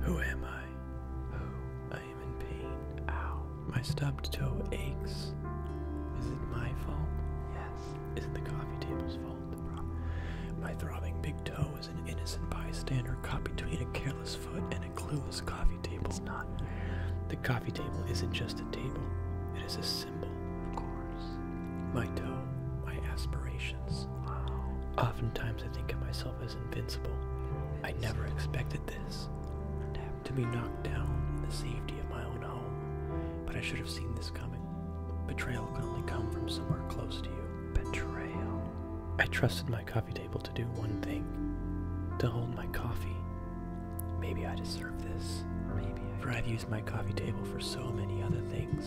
Who am I? Oh, I am in pain. Ow. My stubbed toe aches. Is it my fault? Yes. Is it the coffee table's fault? My throbbing big toe is an innocent bystander caught between a careless foot and a clueless coffee table. not. The coffee table isn't just a table, it is a symbol. Of course. My toe, my aspirations, Oftentimes I think of myself as invincible. I never expected this. To be knocked down in the safety of my own home. But I should have seen this coming. Betrayal can only come from somewhere close to you. Betrayal. I trusted my coffee table to do one thing to hold my coffee. Maybe I deserve this. Maybe For I've my coffee table for so many other things.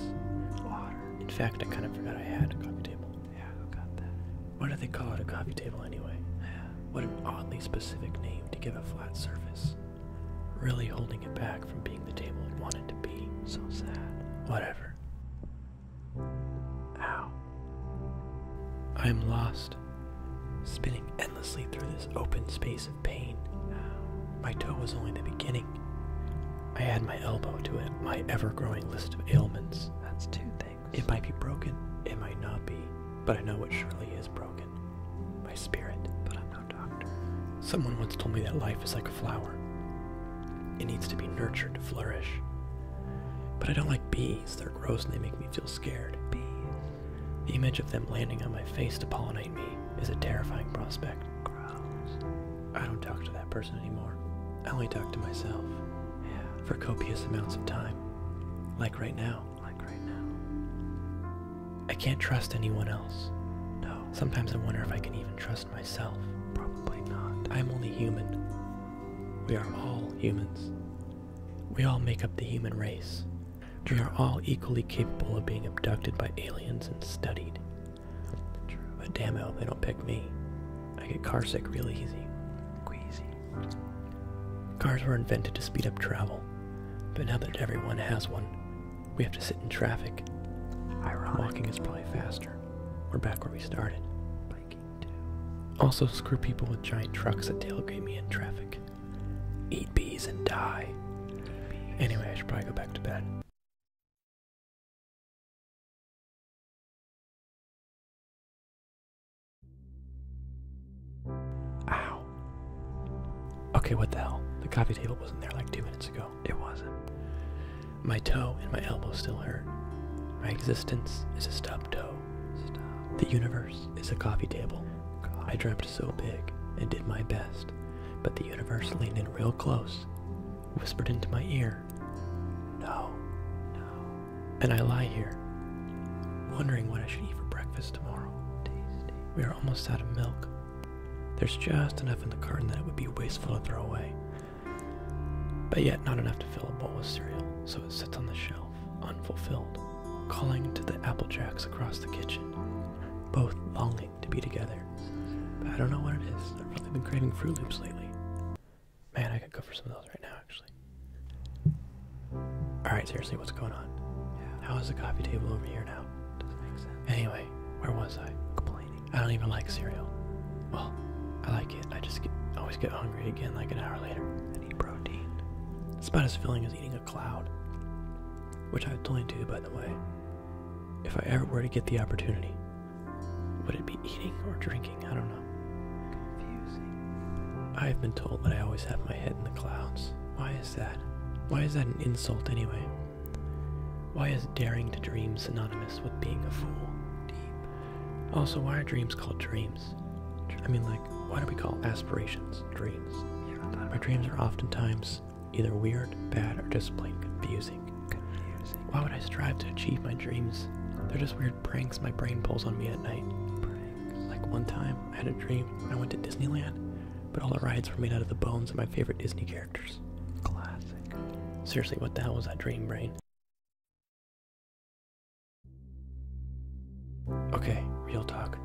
Water. In fact, I kind of forgot I had a coffee table. Yeah, I got that. Why do they call it a coffee table anyway? Yeah. What an oddly specific name to give a flat surface. Really holding it back from being the table it wanted to be. So sad. Whatever. Ow. I am lost, spinning endlessly through this open space pain. Uh, my toe was only the beginning. I add my elbow to it, my ever growing list of ailments. That's two things. It might be broken, it might not be, but I know what surely is broken. My spirit, but I'm not a doctor. Someone once told me that life is like a flower. It needs to be nurtured to flourish. But I don't like bees. They're gross and they make me feel scared. Bees. The image of them landing on my face to pollinate me is a terrifying prospect. I don't talk to that person anymore. I only talk to myself. Yeah. For copious amounts of time. Like right now. Like right now. I can't trust anyone else. No. Sometimes I wonder if I can even trust myself. Probably not. I'm only human. We are all humans. We all make up the human race. We are all equally capable of being abducted by aliens and studied. But damn it, they don't pick me. I get carsick real easy. Queasy. Cars were invented to speed up travel, but now that everyone has one, we have to sit in traffic. Ironic. Walking is probably faster. We're back where we started. Biking too. Also, screw people with giant trucks that tailgate me in traffic. Eat bees and die. Anyway, I should probably go back to bed. Ow. Okay, what the hell? The coffee table wasn't there like two minutes ago. It wasn't. My toe and my elbow still hurt. My existence is a stub toe. The universe is a coffee table. I dreamt so big and did my best, but the universe leaned in real close, whispered into my ear, No, no. And I lie here, wondering what I should eat for breakfast tomorrow. We are almost out of milk. There's just enough in the carton that it would be wasteful to throw away, but yet not enough to fill a bowl with cereal, so it sits on the shelf, unfulfilled calling to the Applejacks across the kitchen, both longing to be together. But I don't know what it is. I've really been craving Fruit Loops lately. Man, I could go for some of those right now, actually. Alright, seriously, what's going on? How is the coffee table over here now? Doesn't make sense. Anyway, where was I? Complaining. I don't even like cereal. Well, I like it. I just always get hungry again like an hour later. It's about as filling as eating a cloud, which I would totally do, by the way. If I ever were to get the opportunity, would it be eating or drinking? I don't know. Confusing. I have been told that I always have my head in the clouds. Why is that? Why is that an insult anyway? Why is daring to dream synonymous with being a fool? Also, why are dreams called dreams? I mean, like, why do we call aspirations dreams? Our dreams are oftentimes either weird, bad, or just plain confusing. Why would I strive to achieve my dreams? They're just weird pranks my brain pulls on me at night. Like one time, I had a dream. I went to Disneyland, but all the rides were made out of the bones of my favorite Disney characters. Classic. Seriously, what the hell was that dream brain? Okay, real talk.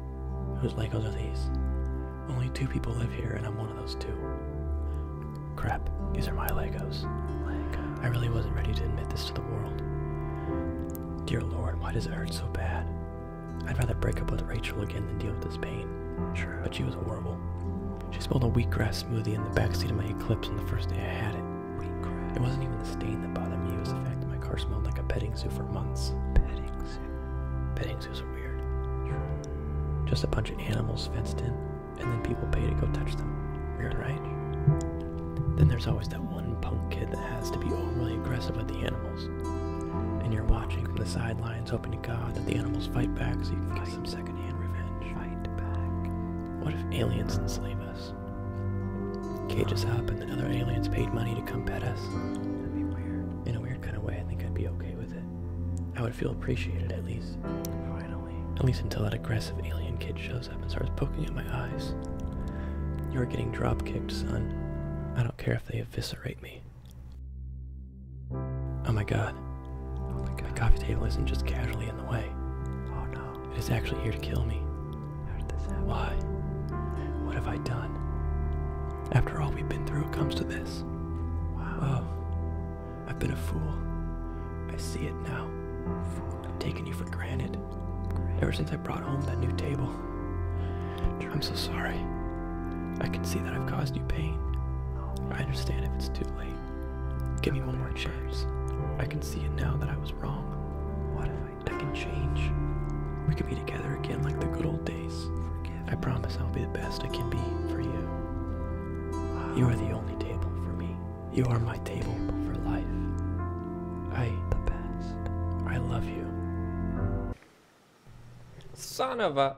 Whose Legos are these? Only two people live here, and I'm one of those two. Crap, these are my Legos. I really wasn't ready to admit this to the world. Dear Lord, why does it hurt so bad? I'd rather break up with Rachel again than deal with this pain. But she was horrible. She spilled a wheatgrass smoothie in the backseat of my Eclipse on the first day I had it. It wasn't even the stain that bothered me, it was the fact that my car smelled like a petting zoo for months. Petting zoo? Petting zoos are weird. Just a bunch of animals fenced in, and then people pay to go touch them. Weird, right? Then there's always that one punk kid that has to be overly aggressive with the animals. And you're watching from the sidelines, hoping to God that the animals fight back so you can get some secondhand revenge. Fight back. What if aliens enslave us? Cages up and then other aliens paid money to come pet us. In a weird kind of way, I think I'd be okay with it. I would feel appreciated at least. Finally. At least until that aggressive alien kid shows up and starts poking at my eyes. You're getting drop kicked, son. I don't care if they eviscerate me. Oh my god. my coffee table isn't just casually in the way. Oh no. It is actually here to kill me. Why? What have I done? After all we've been through, it comes to this. Oh, I've been a fool. I see it now. I've taken you for granted. Ever since I brought home that new table. I'm so sorry. I can see that I've caused you pain. Oh. I understand if it's too late. Give me one more chance. I can see it now that I was wrong. What if I, I can change? We can be together again like the good old days. I promise I'll be the best I can be for you. You are the only table for me. You are my table for life. I the best. I love you. Son of a